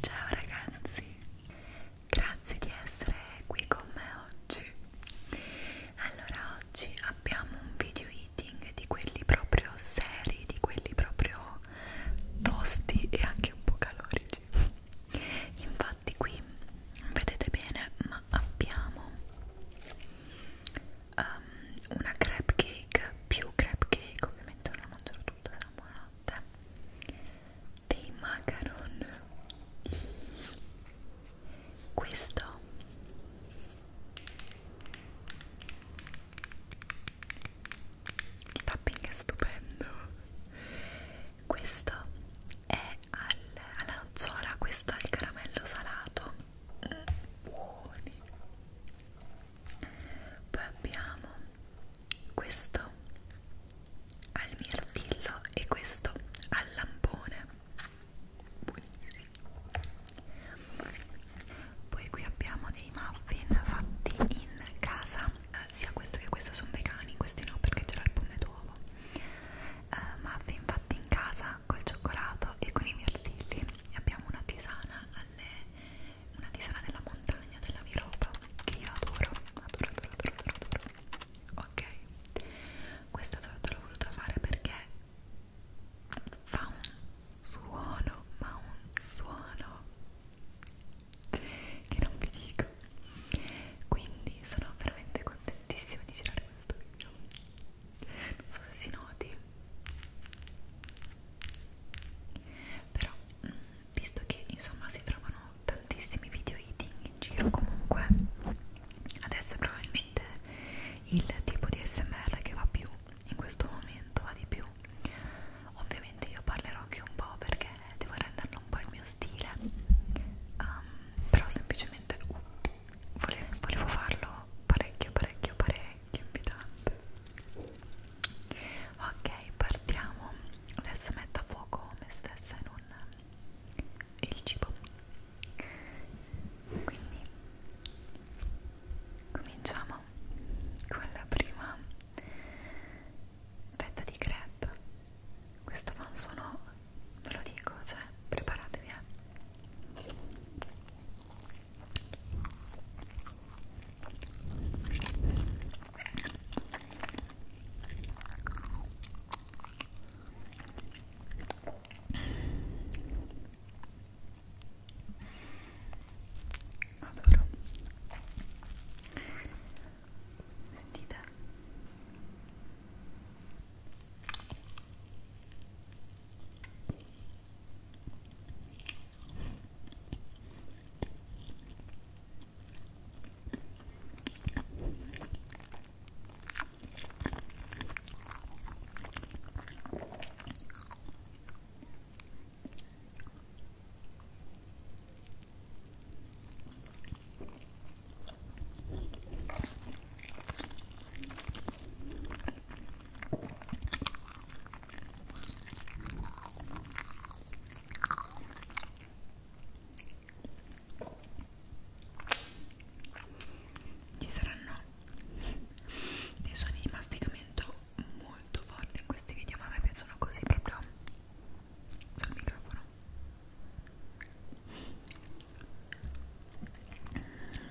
Ciao ragazzi, grazie di essere qui con me oggi. Allora, oggi abbiamo un video eating di quelli proprio seri, di quelli proprio tosti e anche un po' calorici infatti qui non vedete bene ma abbiamo um, una crepe cake più crepe cake ovviamente non la mangerò tutta sarà buonanotte dei macaron questo il tapping è stupendo questo è al, alla nocciola questo è il caramello salato buoni poi abbiamo questo al mirtillo e questo al lampone buonissimo poi qui abbiamo dei muffin fatti in casa eh, sia questo che questo sono vegani, questi no perché c'era il pomodoro uh, eh, muffin fatti in casa col cioccolato e con i mirtilli abbiamo una tisana alle, una tisana della montagna della Viropa che io adoro adoro adoro adoro adoro, adoro. ok questa torta l'ho voluta fare perché fa un suono ma un suono che non vi dico quindi sono veramente contentissima di girare questo video non so se si noti però mm, visto che insomma si trovano tantissimi video eating in giro comunque adesso probabilmente il tipo di smr che va più in questo momento va di più Ovviamente io parlerò anche un po' perché devo renderlo un po' il mio stile, um, però semplicemente uh, volevo, volevo farlo parecchio, parecchio, parecchio invitante. Ok, partiamo. Adesso metto a fuoco me stessa in un il cibo quindi cominciamo con la prima fetta di crepe questo fa un suono ve lo dico cioè preparatevi eh adoro sentite ci saranno dei suoni di masticamento molto forte in questi video, ma a me piacciono così proprio sul microfono.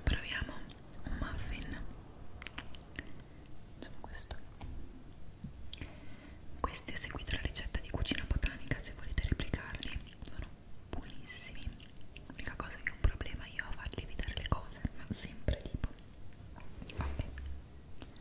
Proviamo un muffin. Facciamo questo. Questi ho seguito la ricetta di cucina botanica, se volete replicarli, sono buonissimi. L'unica cosa che ho un problema io a farli evitare le cose, ma sempre tipo. Vabbè.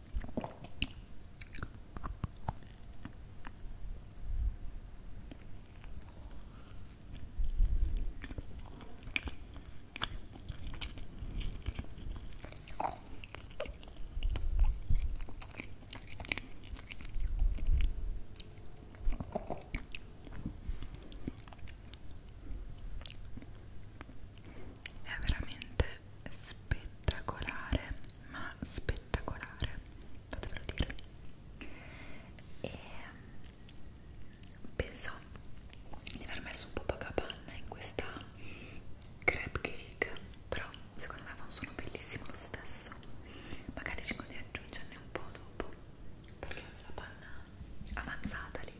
è veramente spettacolare ma spettacolare fatevelo dire e ehm, penso di aver messo un po' pacapanna in questa crepe cake però secondo me fa un suono bellissimo lo stesso magari cerco di aggiungerne un po' dopo perché ho la panna avanzata lì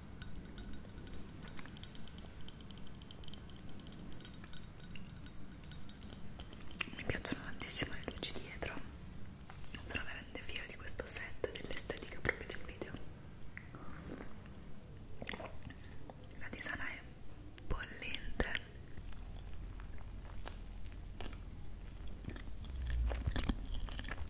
mi piacciono tantissimo le luci dietro sono veramente fiera di questo set dell'estetica proprio del video la tisana è bollente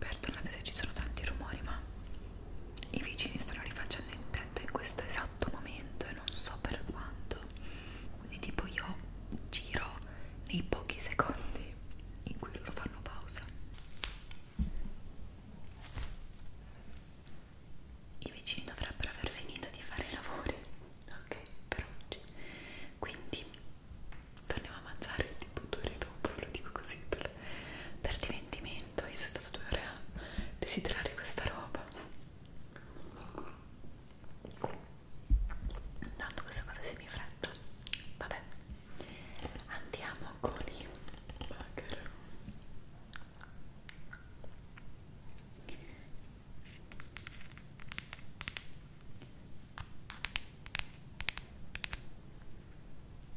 Perdonate se ci sono tanti rumori, ma i vicini stanno rifacendo il tetto in questo esatto momento e non so per quanto. Quindi, tipo, io giro nei pochi secondi in cui loro fanno pausa. I vicini dovrebbero aver finito di fare i lavori, ok, per oggi. Quindi torniamo a mangiare tipo due ore dopo, ve lo dico così per, per diventimento. Io sono stata due ore a desiderare questa roba. Tanto questa cosa si mi fretta. Vabbè, andiamo con i bugger.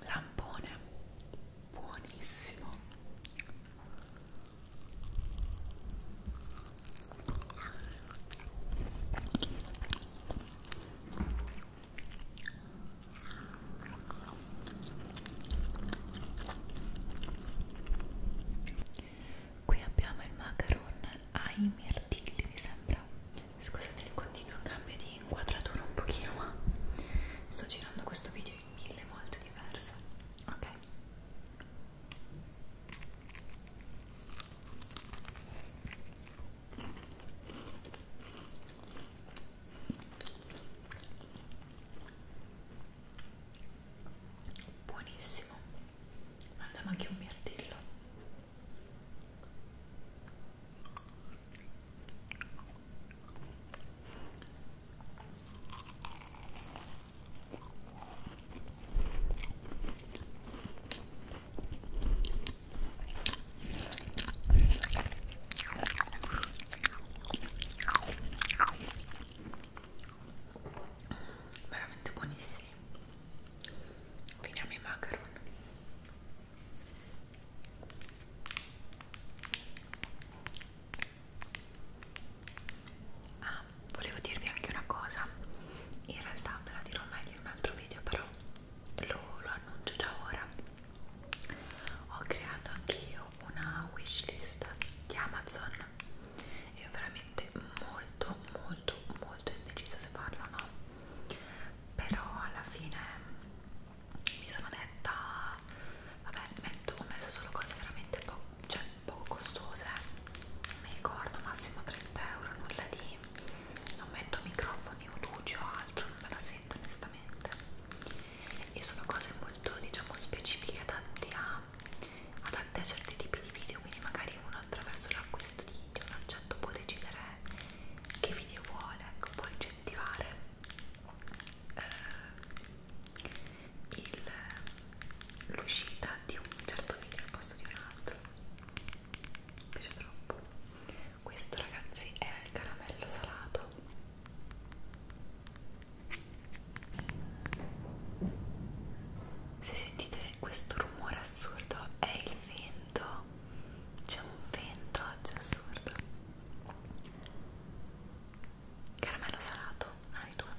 lampone buonissimo qui abbiamo il macaron ai mirtilli mi sembra scusate il continuo cambio di inquadratura un pochino ma sto girando questo video in mille molte diverse ok buonissimo guarda ma anche un mirtillo veramente buonissimo Veniamo ai macaron. Ah, volevo dirvi anche una cosa. In realtà ve la dirò meglio in un altro video, però lo, lo annuncio già ora. Ho creato anch'io una wishlist di Amazon settimana e ho veramente molto molto molto indecisa se farlo o no però alla fine mi sono detta vabbè metto, ho messo solo cose veramente po cioè, poco costose mi ricordo massimo 30 euro nulla di non metto microfoni o luci o altro non me la sento onestamente e sono cose molto diciamo specifiche adattate a a, ad atti a certi tipi di video quindi magari uno attraverso l'acquisto di, di un oggetto può decidere che video vuole ecco, può incentivare eh, l'uscita di un certo video al posto di un altro mi piace troppo questo ragazzi è il caramello salato se sentite questo rumore assurdo è il vento, c'è un vento oggi assurdo. Caramello salato, hai due.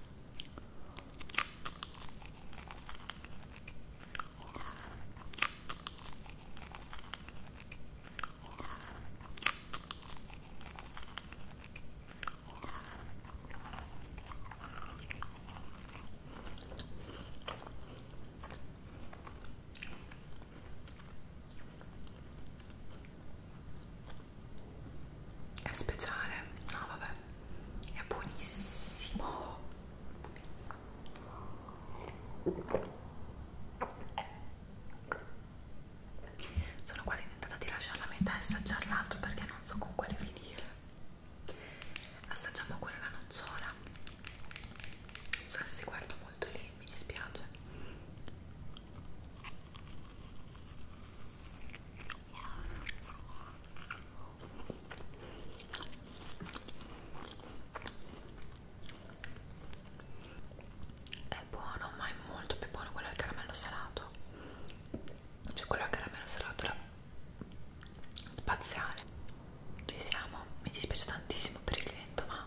È speciale, no vabbè, è buonissimo. Sono quasi tentata di lasciare la metà e assaggiare l'altro perché non so con quale finire assaggiamo con la nocciola non so se si guarda molto lì mi dispiace è buono ma è molto più buono quello al caramello salato cioè quello al caramello salato spaziale ci siamo mi dispiace tantissimo per il vento ma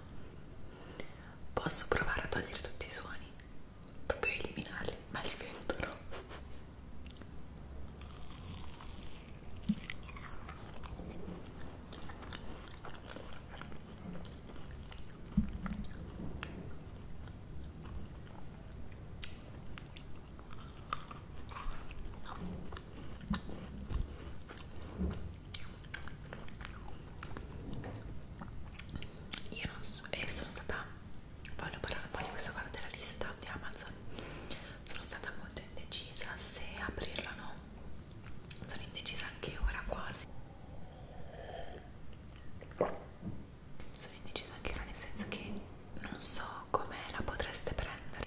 posso provare a togliere tutti i suoni proprio eliminarli ma il vento no io non so, e eh, sono stata, voglio parlare un po' di questa cosa della lista di Amazon, sono stata molto indecisa se aprirla o no, sono indecisa anche ora quasi sono indecisa anche io nel senso che non so come la potreste prendere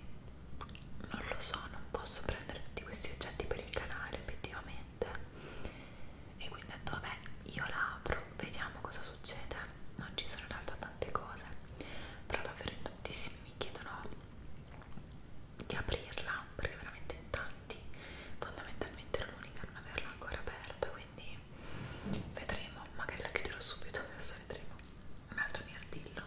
non lo so, non posso prendere tutti questi oggetti per il canale obiettivamente e quindi ho detto vabbè io la apro, vediamo cosa succede non ci sono in realtà tante cose però davvero in tantissimi mi chiedono di aprirla perché veramente in tanti fondamentalmente l'unica non averla ancora aperta quindi quindi vedremo, magari la chiuderò subito, adesso vedremo un altro mirtillo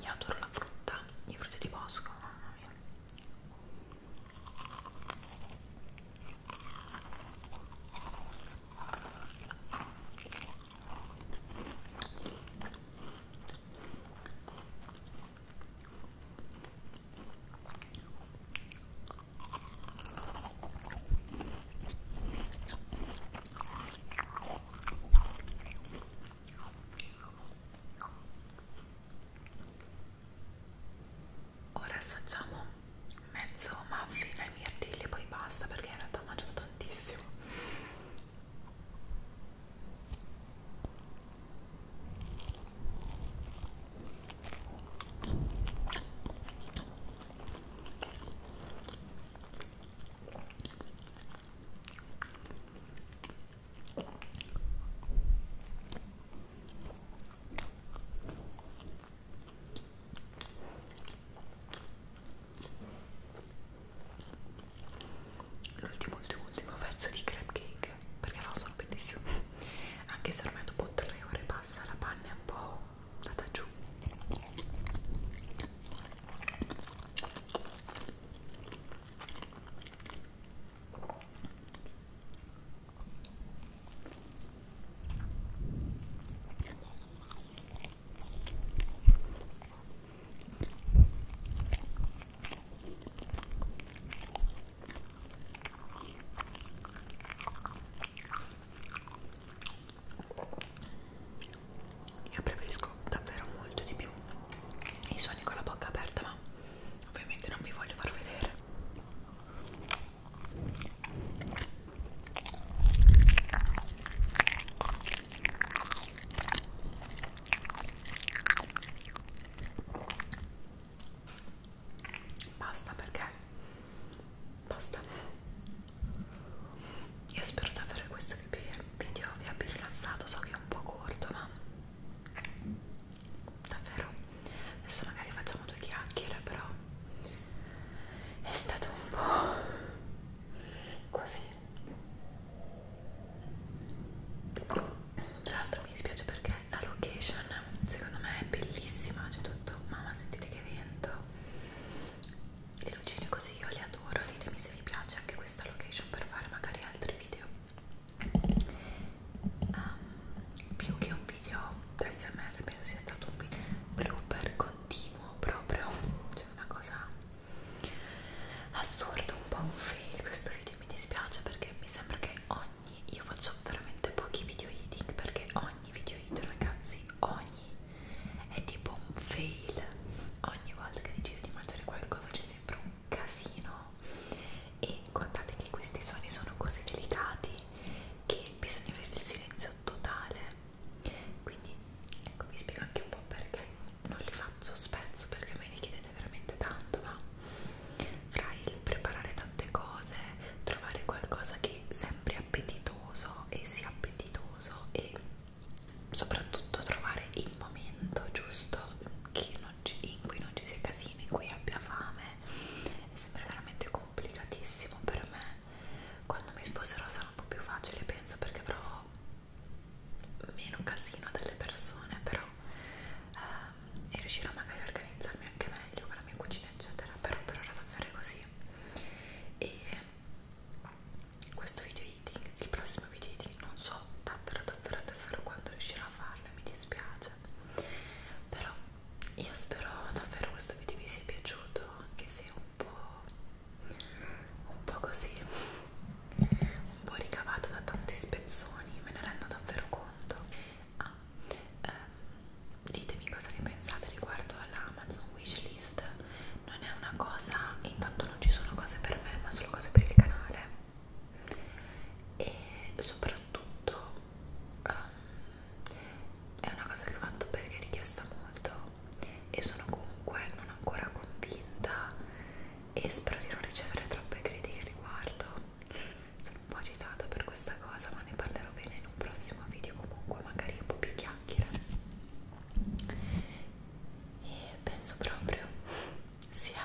io adoro la frutta, i frutti di bosco, mamma mia Ora assaggiamo mezzo muffin ai mirtilli e poi basta perché in realtà ho mangiato tantissimo. L'ultimo, ultimo, ultimo pezzo di crab cake perché fa un sono bellissimo anche se ormai dopo tre ore passa la panna è un po' andata giù io preferisco davvero molto di più i suoni con la bocca aperta, ma ovviamente non vi voglio far vedere basta perché basta io spero davvero che questo video vi abbia rilassato so che è un po' corto ma davvero adesso magari facciamo due chiacchiere però è stato un po' così tra l'altro mi dispiace perché la location secondo me è bellissima c'è tutto mamma sentite che vento le lucine così io le adoro ditemi se vi piace anche questa location per fare magari altri video um, più che un video smr penso sia stato un video blooper continuo proprio cioè una cosa assurda un po' un fail questo video mi dispiace perché mi sembra che ogni io faccio veramente pochi video eating perché ogni video eating ragazzi ogni è tipo un fail ogni volta che decido di mangiare qualcosa c'è sempre un casino e guardate che questi suoni sono così delicati che bisogna avere il silenzio totale quindi ecco vi spiego anche un po' perché non li faccio spesso perché me ne chiedete veramente tanto ma fra il preparare tante cose, trovare qualcosa che sembri appetitoso e sia appetitoso e soprattutto trovare il momento giusto che non ci, in cui non ci sia casino, in cui abbia fame è sempre veramente complicatissimo per me quando mi sposerò sarà un po' più facile penso perché avrò meno casino delle persone però ehm, e riuscirò magari a organizzarmi anche meglio con la mia cucina eccetera però per ora devo fare così e questo video eating il prossimo video eating non so davvero davvero davvero quando riuscirò a farlo mi dispiace però io spero davvero questo video vi sia piaciuto anche se un po' un po' così un po' ricavato da tanti spezzoni, me ne rendo davvero conto. Ah, ehm, ditemi cosa ne pensate riguardo all'Amazon wishlist. Non è una cosa, intanto non ci sono cose per me, ma solo cose per il canale. E soprattutto ehm, è una cosa che ho fatto perché è richiesta molto e sono comunque non ancora convinta e spero di non ricevere troppe critiche riguardo sono un po' agitata per questa cosa ma ne parlerò bene in un prossimo video comunque magari un po' più chiacchiere e penso proprio sia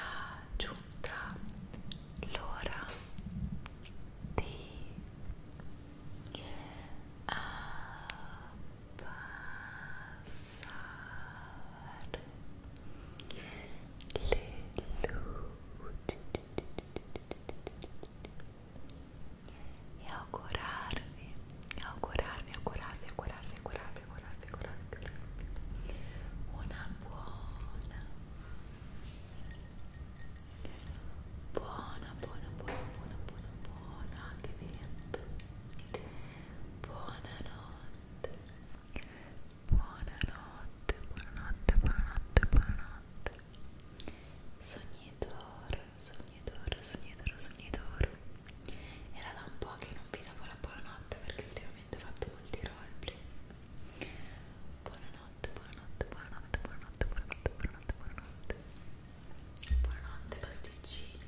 giunta l'ora di abbassare abbassare le luci e augurarvi, augurarvi, augurarvi, augurarvi, augurarvi, augurarvi, augurarvi, augurarvi una buona, buona, buona, buona, buona, buona, buona, anche vento, buonanotte. Buonanotte, buonanotte, buonanotte, buonanotte. Sognitore, sognitore, sognitore, sognitore. Era da un po' che non vi davo la buonanotte perché ultimamente ho fatto molti roleplay. Buonanotte, buonanotte, buonanotte, buonanotte, buonanotte, buonanotte, buonanotte. Buonanotte pasticcini.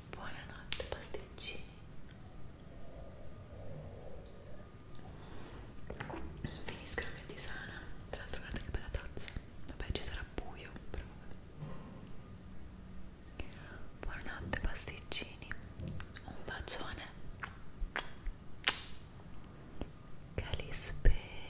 Buonanotte pasticcini Finiscono che ti sana Tra l'altro guarda che bella tazza Vabbè ci sarà buio però Buonanotte pasticcini Un bacione Che li spera